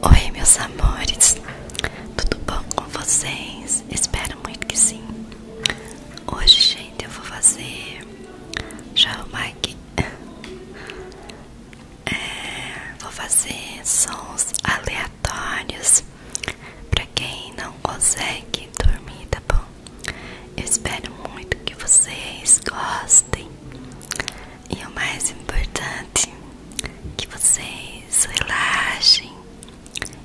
Oi, meus amores, tudo bom com vocês? Espero muito que sim. Hoje, gente, eu vou fazer. Deixa eu arrumar aqui. É, vou fazer sons aleatórios para quem não consegue dormir, tá bom? Eu espero muito que vocês gostem. E o mais importante que vocês relaxem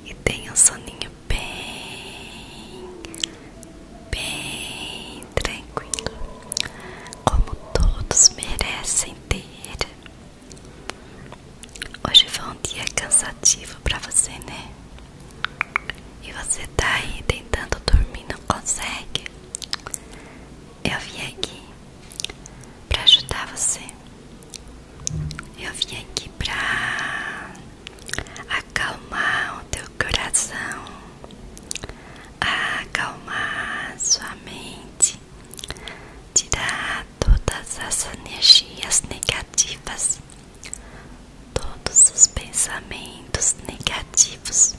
e tenham um soninho bem, bem tranquilo, como todos merecem ter. Hoje foi um dia cansativo para você, né? E você tá aí tentando dormir, não consegue? Eu vim aqui para ajudar você. Eu vim aqui para acalmar o teu coração, acalmar sua mente, tirar todas as energias negativas, todos os pensamentos negativos.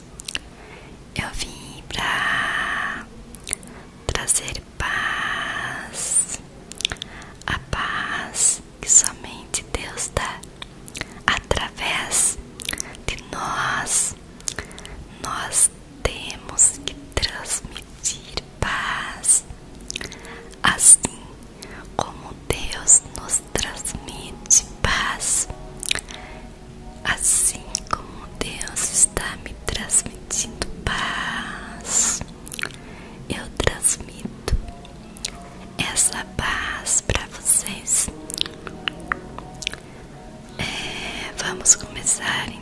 Eu vim para trazer paz, a paz que somente Deus dá através de nós. Nós temos que transmitir paz, assim como Deus nos transmite paz, assim como Deus está me transmitindo transmitindo paz. Eu transmito essa paz para vocês. É, vamos começar então.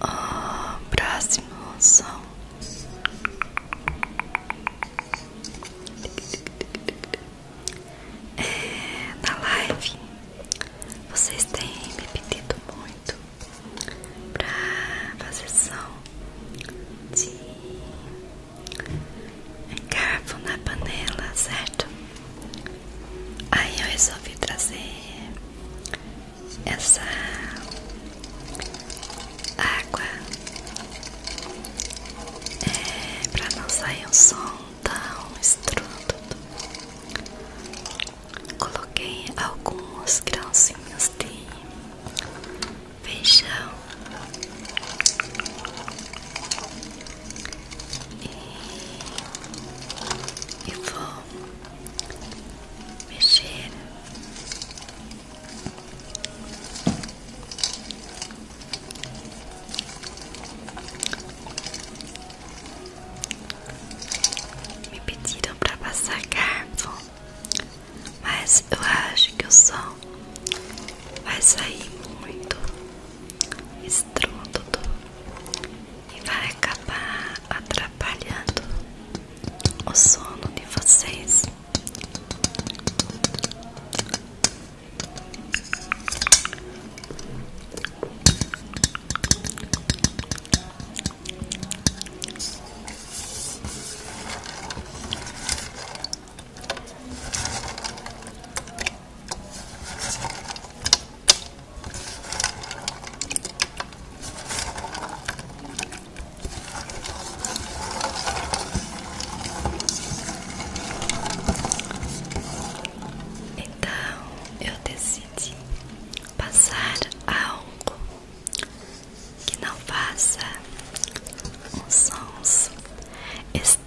O próximo som é, na live vocês têm me pedido muito pra fazer som de garfo na panela, certo? Aí eu resolvi trazer essa água é, pra não sair um som tão estrudo Coloquei alguns grãozinhos de feijão e vou mexer me pediram para passar garfo mas eu acho que o som vai sair muito estrondo e vai acabar atrapalhando o sono de vocês. Então eu decidi passar algo que não faça uns sons estrondosos.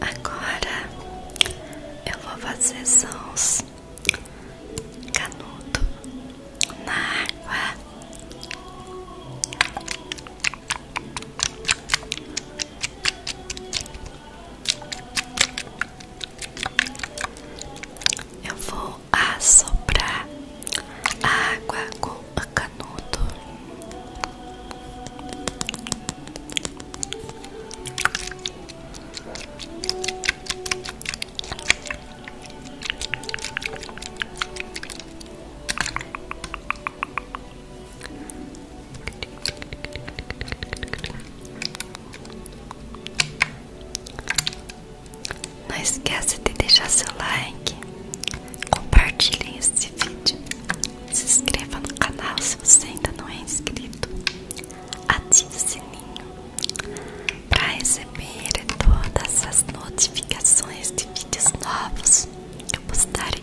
Agora eu vou fazer sons canudo na água. Eu vou assoprar água com o canudo. Não esqueça de deixar seu like, compartilhe este vídeo, se inscreva no canal se você ainda não é inscrito, ative o sininho para receber receber todas as notificações de vídeos novos que eu postar aqui.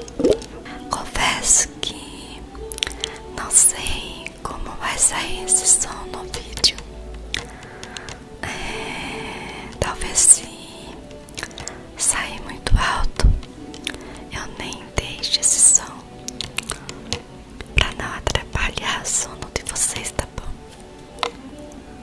Confesso que não sei como vai sair esse som no vídeo. É, talvez se sair muito alto, eu nem deixe esse som para não atrapalhar o sono de vocês, tá bom?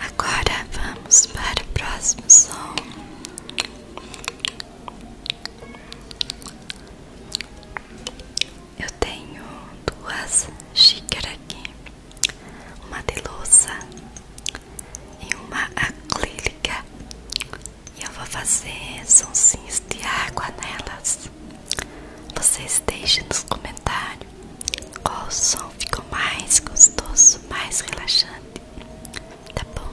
Agora vamos para o próximo som. Eu tenho duas xícaras aqui, uma de louça e uma acrílica. E eu vou fazer sonsinhos de água nelas. Vocês deixem nos comentários qual som ficou mais gostoso, mais relaxante. Tá bom?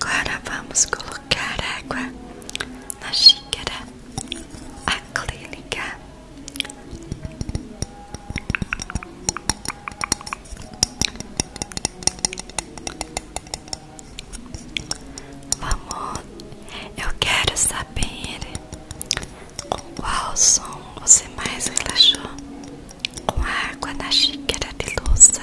Agora vamos colocar água na xícara. A clínica Vamos, eu quero saber com qual som você mais relaxou com a água na xícara de louça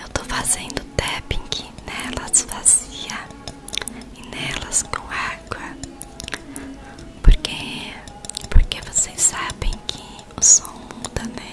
Eu tô fazendo tapping nelas vazia e nelas com água, porque porque vocês sabem que o som muda, né?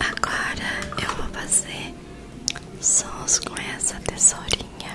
Agora eu vou fazer sons com essa tesourinha.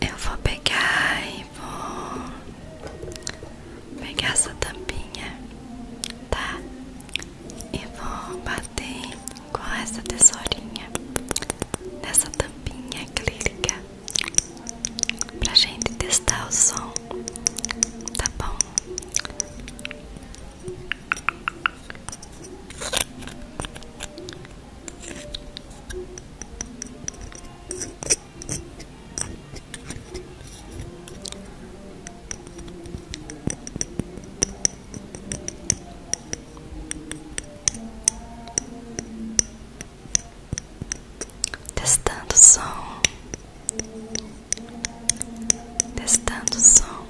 Eu vou pegar e vou pegar essa tampinha, tá? E vou bater com essa tesourinha nessa tampinha acrílica pra gente testar o som Tá bom. Testando o som. Testando o som.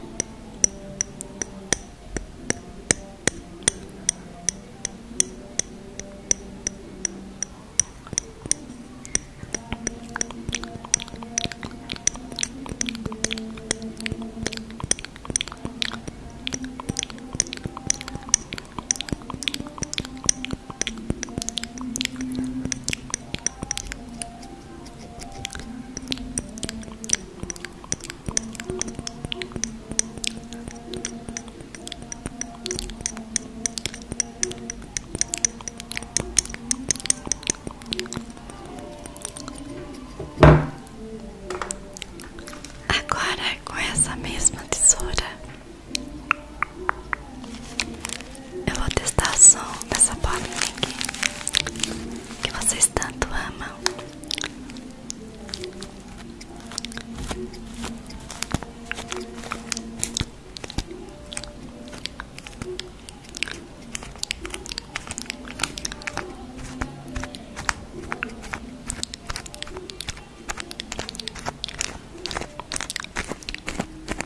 Agora com essa mesma tesoura eu vou testar o som dessa bolinha que vocês tanto amam.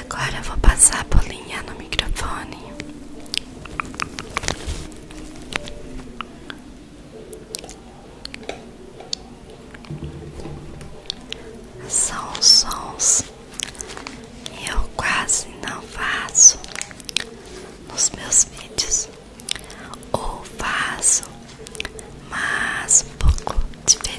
Agora eu vou passar a bolinha no microfone. São sons que eu quase não faço nos meus vídeos, ou faço, mas um pouco diferente.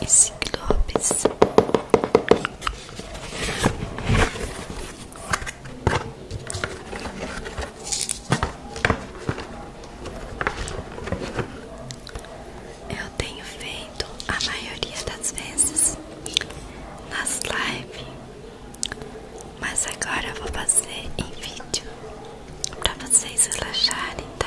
e ciclopes. Eu tenho feito a maioria das vezes nas lives, mas agora vou fazer em vídeo pra vocês relaxarem, tá?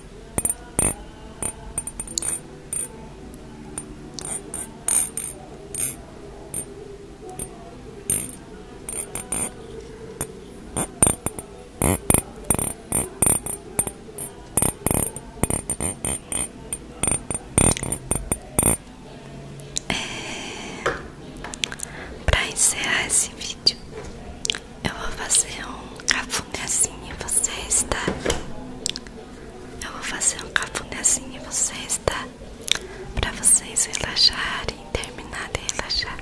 É, pra encerrar esse vídeo, eu vou fazer um cafunézinho e você está. Eu vou fazer um cafunézinho e você está. Pra vocês relaxarem, terminarem de relaxar.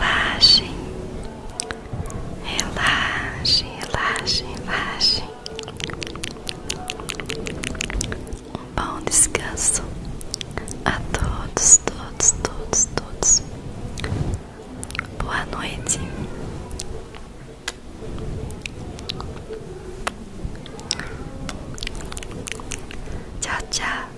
Relaxe. Relaxe, relaxe, relaxe. Um bom descanso a todos, todos, todos, todos. Boa noite. Tchau, tchau.